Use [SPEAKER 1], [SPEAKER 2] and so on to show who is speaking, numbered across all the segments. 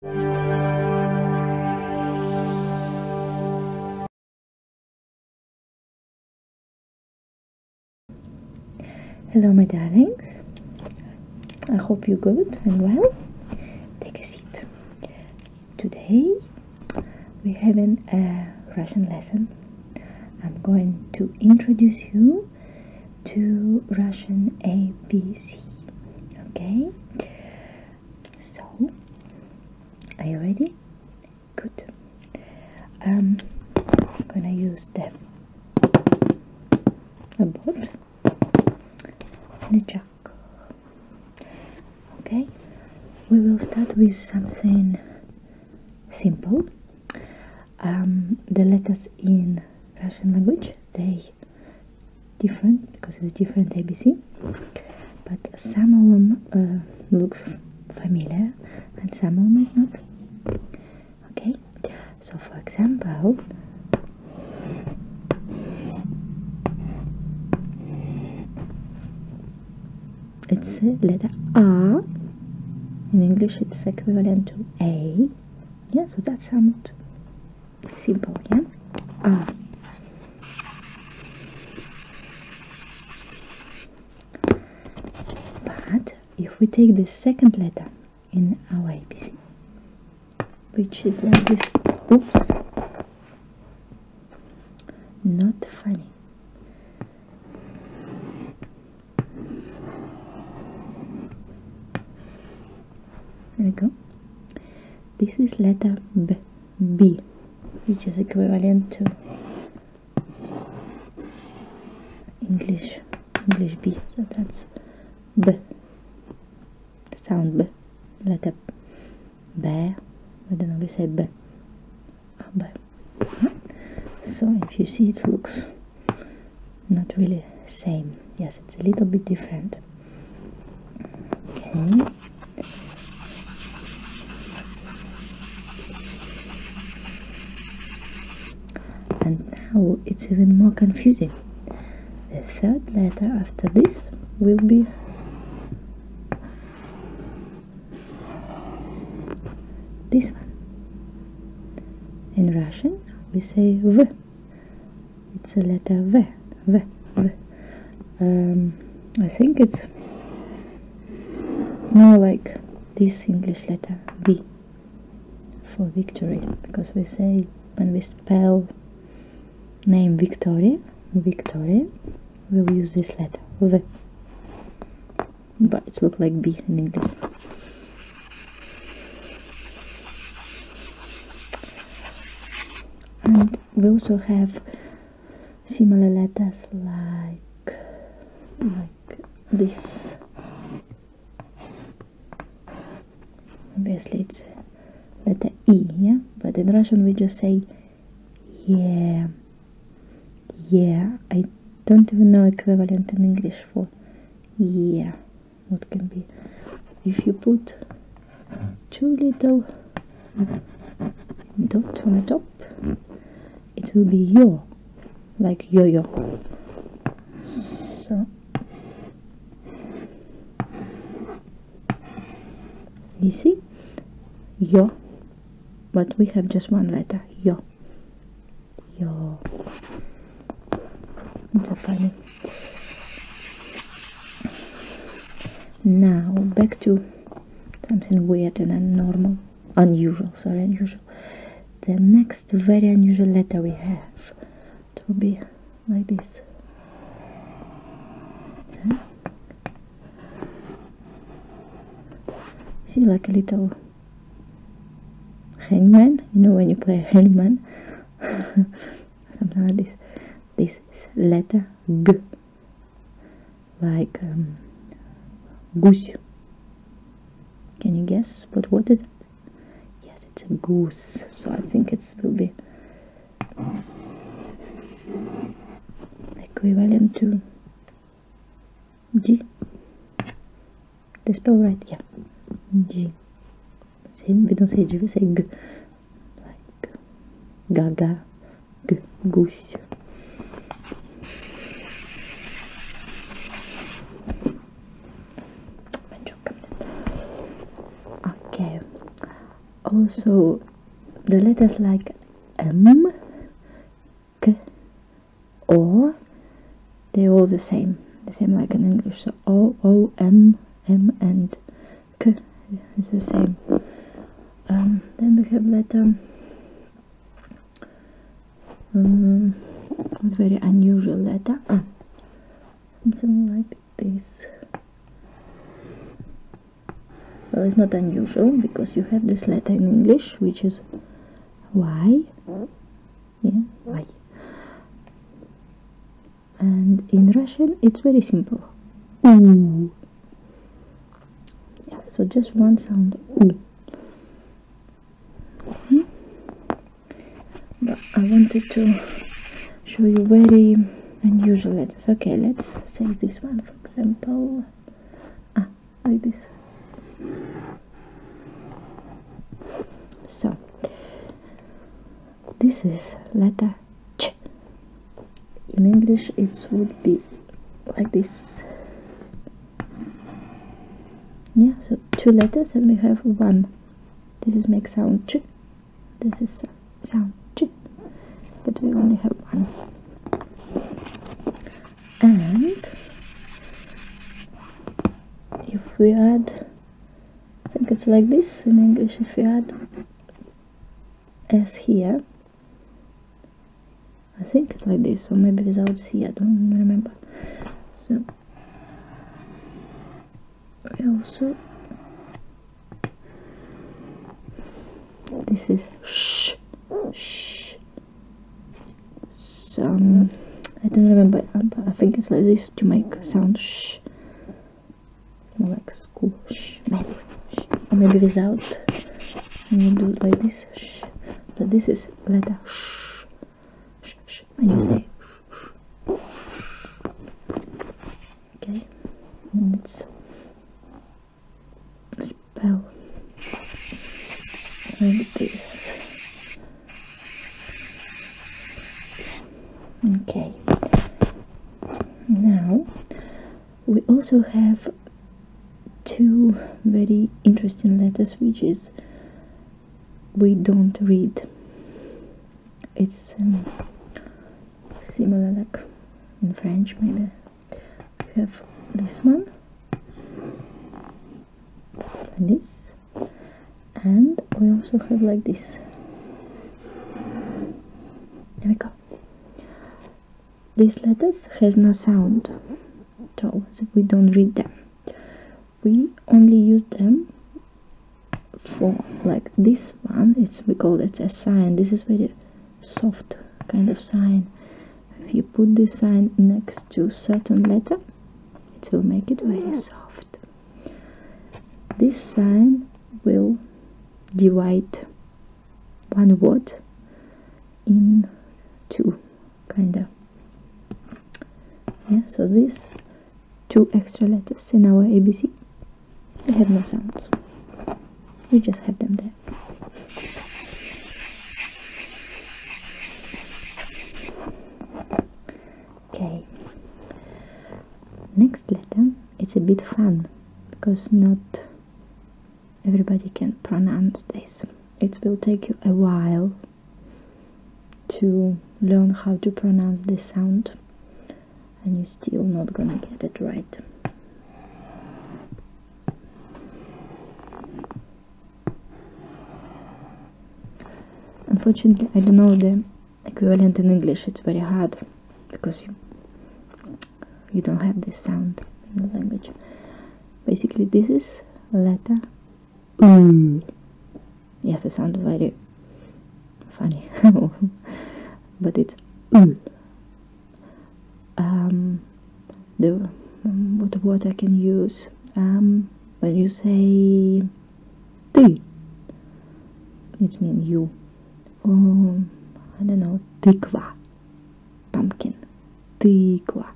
[SPEAKER 1] Hello, my darlings. I hope you're good and well. Take a seat. Today we're having a Russian lesson. I'm going to introduce you to Russian ABC. Okay. So, are you ready? Good. Um, I'm gonna use the a board and a jack. Okay, we will start with something simple. Um, the letters in Russian language they different because it's different ABC but some of them uh, looks familiar and some of them is not okay so for example it's letter R in English it's equivalent to A yeah so that's how much simple yeah oh. but if we take the second letter in our ABC which is like this oops not funny there we go this is letter B, B which is equivalent to English English B so that's B the sound B letter B I don't know we say B oh, B so if you see it looks not really same yes it's a little bit different and now it's even more confusing. The third letter after this will be this one. In Russian we say V it's a letter V. Um, think it's more like this English letter V for victory because we say when we spell name Victoria, Victoria, we'll use this letter V. But it looks like B in English and we also have similar letters like like this obviously it's letter E yeah but in Russian we just say yeah yeah I don't even know equivalent in English for yeah what can be if you put too little dot on the top it will be yo like yo-yo so you see yo but we have just one letter yo yo it's now back to something weird and abnormal unusual sorry unusual the next very unusual letter we have it will be like this huh? like a little hangman you know when you play hangman something like this this is letter G, like um, goose. Can you guess? But what is it? Yes, it's a goose. So I think it's will be equivalent to G. The spell right? Yeah. G. Mas ele não se diga, sei Like, gaga, g, goose. Okay. Also, the letters like or K, O, they're all the same. The same like in English. So O, O, M, M and Okay, it's the same. Um, then we have letter. Um, um very unusual letter. Ah, something like this. Well, it's not unusual because you have this letter in English, which is Y. Yeah, Y and in Russian it's very simple yeah so just one sound mm. hmm? but I wanted to show you very unusual letters okay let's say this one for example ah, like this so this is letter ch. In English, it would be like this. Yeah, so two letters, and we have one. This is make sound ch. This is sound ch. But we only have one. And if we add, I think it's like this in English. If we add as here I think it's like this or maybe without C I don't remember so we also this is sh sh some I don't remember but I think it's like this to make sound sh Kind of like squish, maybe. Or maybe without. And you do it like this. Shh. But this is letter shh. Shh, shh. And you say shh, shh. Okay. And it's spell like this. Okay now we also have two very interesting letters which is we don't read it's um, similar like in french maybe we have this one like this and we also have like this there we go these letters has no sound so we don't read them we only use them for like this one it's we call it a sign this is very soft kind of sign if you put this sign next to certain letter it will make it very soft this sign will divide one word in two, kinda. Yeah, so these two extra letters in our ABC, they have no sounds. We just have them there. Okay. Next letter, it's a bit fun because not everybody can pronounce this. It will take you a while to learn how to pronounce this sound and you're still not gonna get it right. Unfortunately, I don't know the equivalent in English it's very hard because you, you don't have this sound in the language basically this is letter yes it sounds very funny but it's mm. the um, what word I can use um, when you say T. It means you. I don't know. Tikva. Pumpkin. Tikva.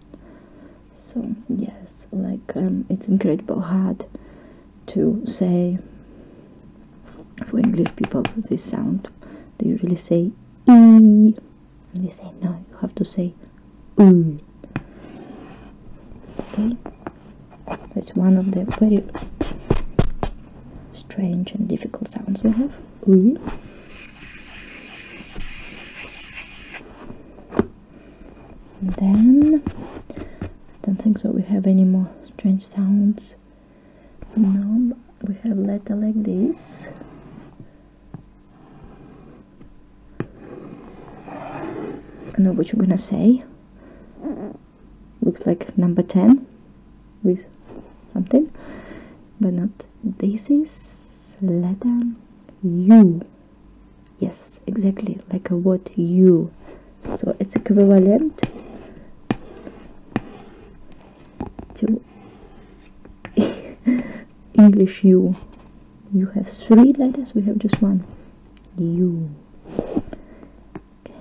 [SPEAKER 1] So yes, like um, it's incredible hard to say for English people this sound. They usually say e. And we say no. You have to say u. That's one of the very strange and difficult sounds we have. Mm-hmm. then I don't think so we have any more strange sounds. No, we have letter like this. I know what you're gonna say looks like number 10 with something but not this is letter U yes exactly like a word U so it's equivalent to English U you have three letters we have just one U Okay.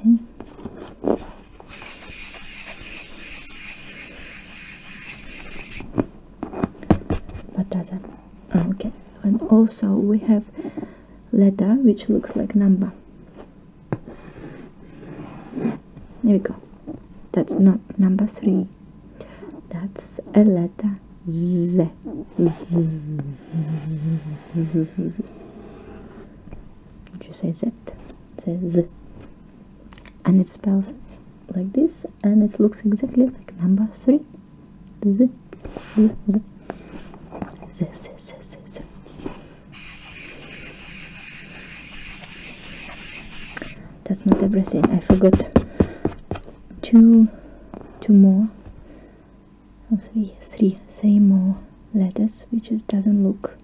[SPEAKER 1] What does that? Oh, okay. And also we have letter which looks like number. Here we go. That's not number three. That's a letter Z. Would you say Z? Z. And it spells like this and it looks exactly like number 3. Z. Z. Z. Z. Z. Z. That's not everything. I forgot two, two more or three, three, three more letters which is, doesn't look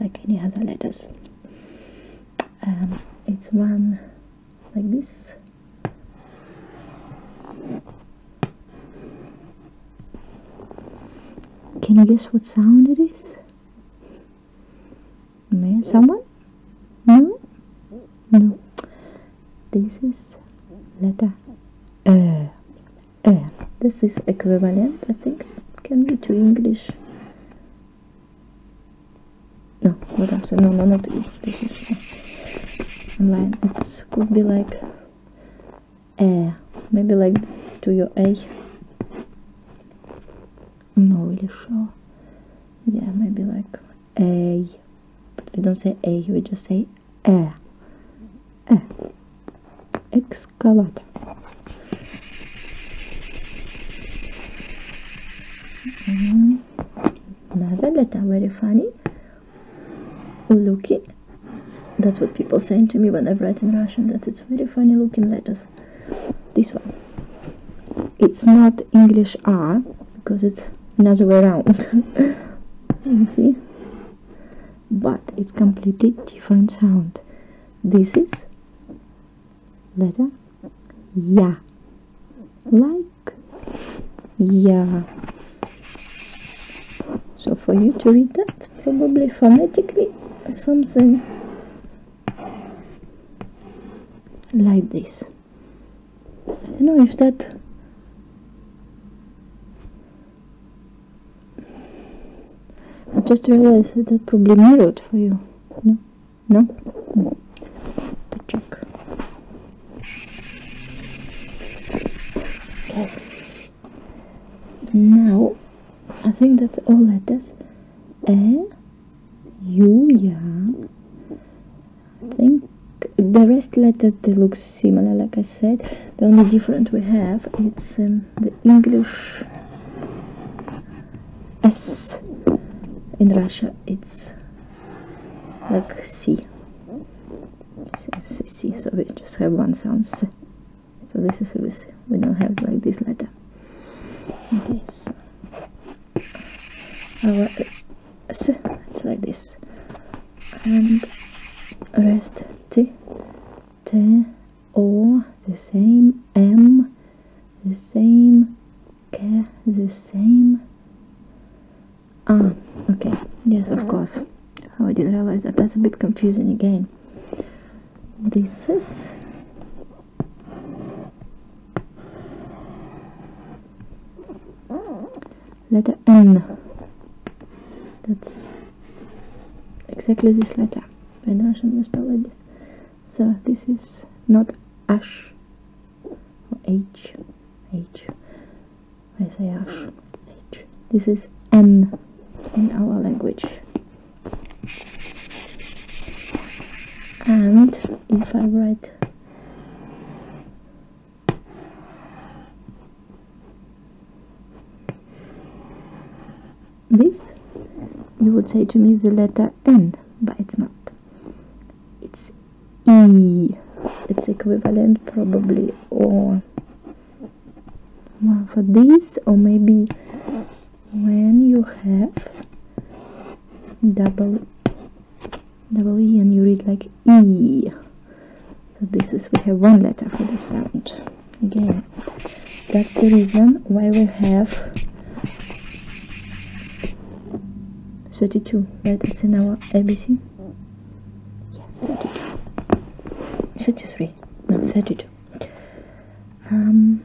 [SPEAKER 1] like any other letters um, it's one like this can you guess what sound it is? May someone? No? No. This is letter E and this is equivalent I think can be to English no what I'm saying no no not English this is uh, online it could be like a eh, maybe like to your a I'm not really sure yeah maybe like a but we don't say a we just say the air. Mm-hmm. Another letter, very funny. Luki. That's what people say to me when I write in Russian, that it's very funny looking letters. This one. It's not English R, because it's another way around. me see? but it's completely different sound this is letter yeah like yeah so for you to read that probably phonetically something like this I don't know if that i just realized that probably mirrored for you. No? No? the To check. Okay. Now, I think that's all letters. E, U, yeah. I think the rest letters they look similar like I said the only different we have it's um, the English S in Russia it's like C C, so we just have one sound so this is we don't have like this letter okay our S it's like this and rest T, T, O, the same, M, the same, K, the same. Ah, okay, yes, of course. I did not realize that that's a bit confusing again. This is letter N. That's exactly this letter. I know I should spell like So this is not ash or H. H. I say ash. H. This is N in our language. And if I write this, you would say to me, the letter N, but it's not. It's E. It's equivalent probably or for this or maybe when you have double double E and you read like E so this is we have one letter for the sound again that's the reason why we have 32 letters in our ABC yes 32 33 no 32 um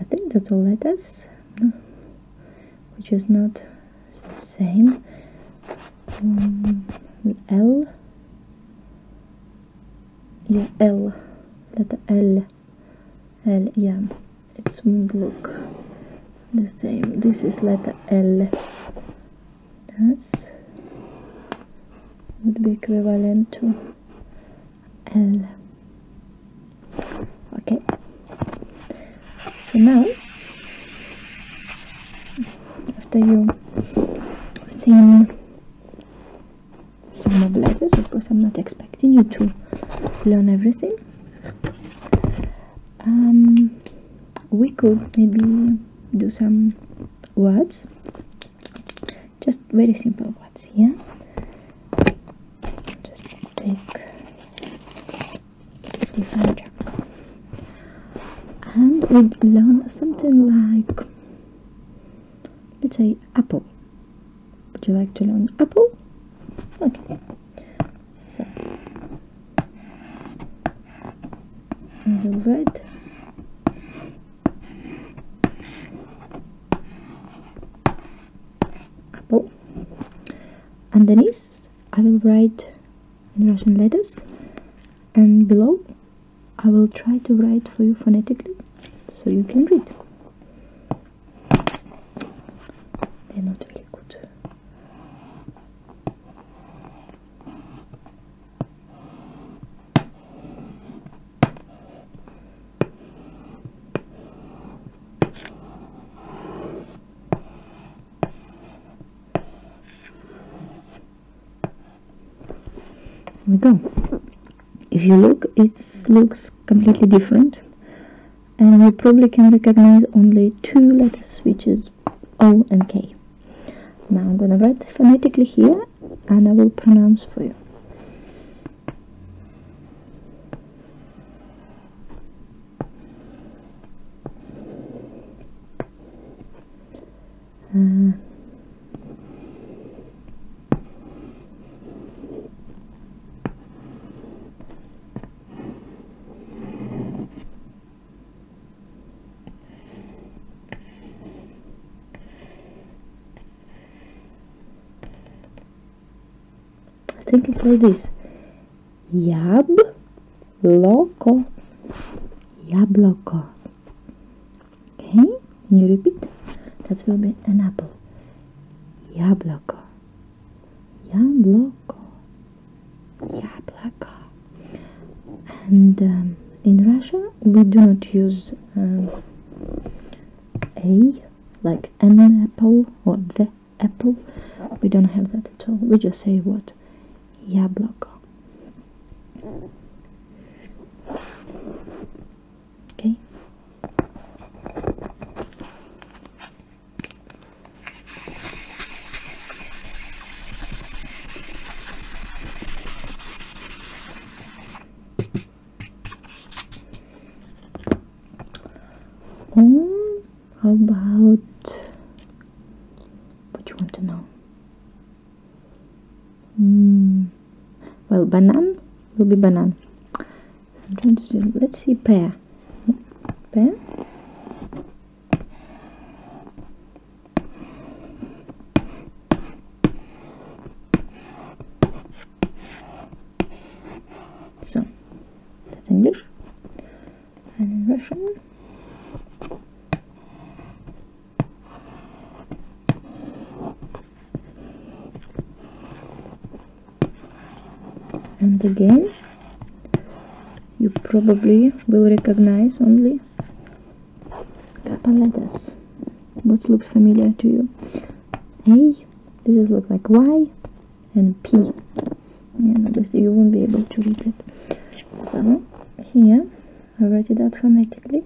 [SPEAKER 1] I think that's all letters no, which is not same L yeah L letter L L yeah it's won't look the same this is letter L that's would be equivalent to L okay so now after you've seen some of letters of course i'm not expecting you to learn everything um, we could maybe do some words just very simple words here. just take the furniture and would learn something like let's say apple would you like to learn apple okay so red apple underneath I will write in Russian letters and below I will try to write for you phonetically so you can read. not really good we go if you look it looks completely different and you probably can recognize only two letters which is O and K now I'm gonna write phonetically here and I will pronounce for you Hmm. I think it's like this. Jabloko. Jabloko. Okay, you repeat. That for be an apple. Jabloko. Jabloko. Jabloko. And um, in Russia, we do not use um, a like an apple or the apple. We don't have that at all. We just say what? Yeah, block. Okay. Oh, mm, how about what you want to know? Hmm. well banana will be banana. I'm trying to let's see pear pear so that's English and Russian. And again, you probably will recognize only couple letters. What looks familiar to you? A, this is look like Y, and P and obviously you won't be able to read it so here I write it out phonetically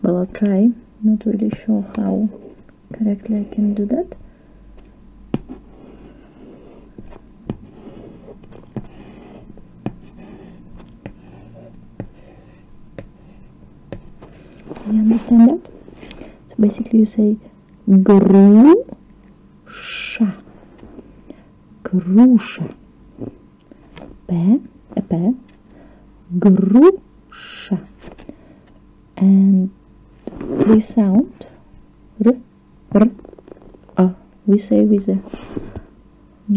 [SPEAKER 1] But I'll try not really sure how correctly I can do that you understand that so basically you say grusha grusha p a p grusha and this sound ah, we say with a,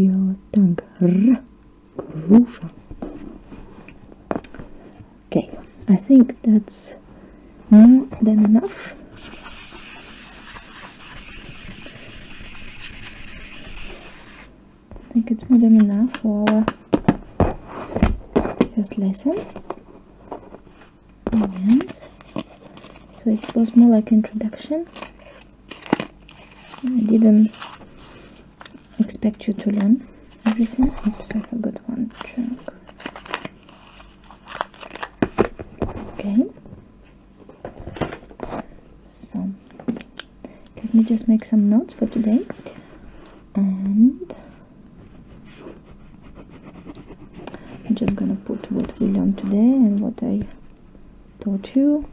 [SPEAKER 1] your tongue r grusha Okay, I think that's more than enough. I think it's more than enough for our first lesson. So it was more like introduction. I didn't expect you to learn everything. Oops, I forgot one Okay. So, let me just make some notes for today. And I'm just gonna put what we learned today and what I taught you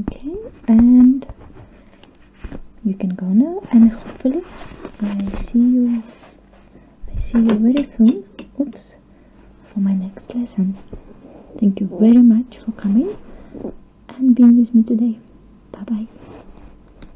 [SPEAKER 1] Okay, and you can go now and hopefully I see you I see you very soon. Oops for my next lesson. Thank you very much for coming and being with me today. Bye bye.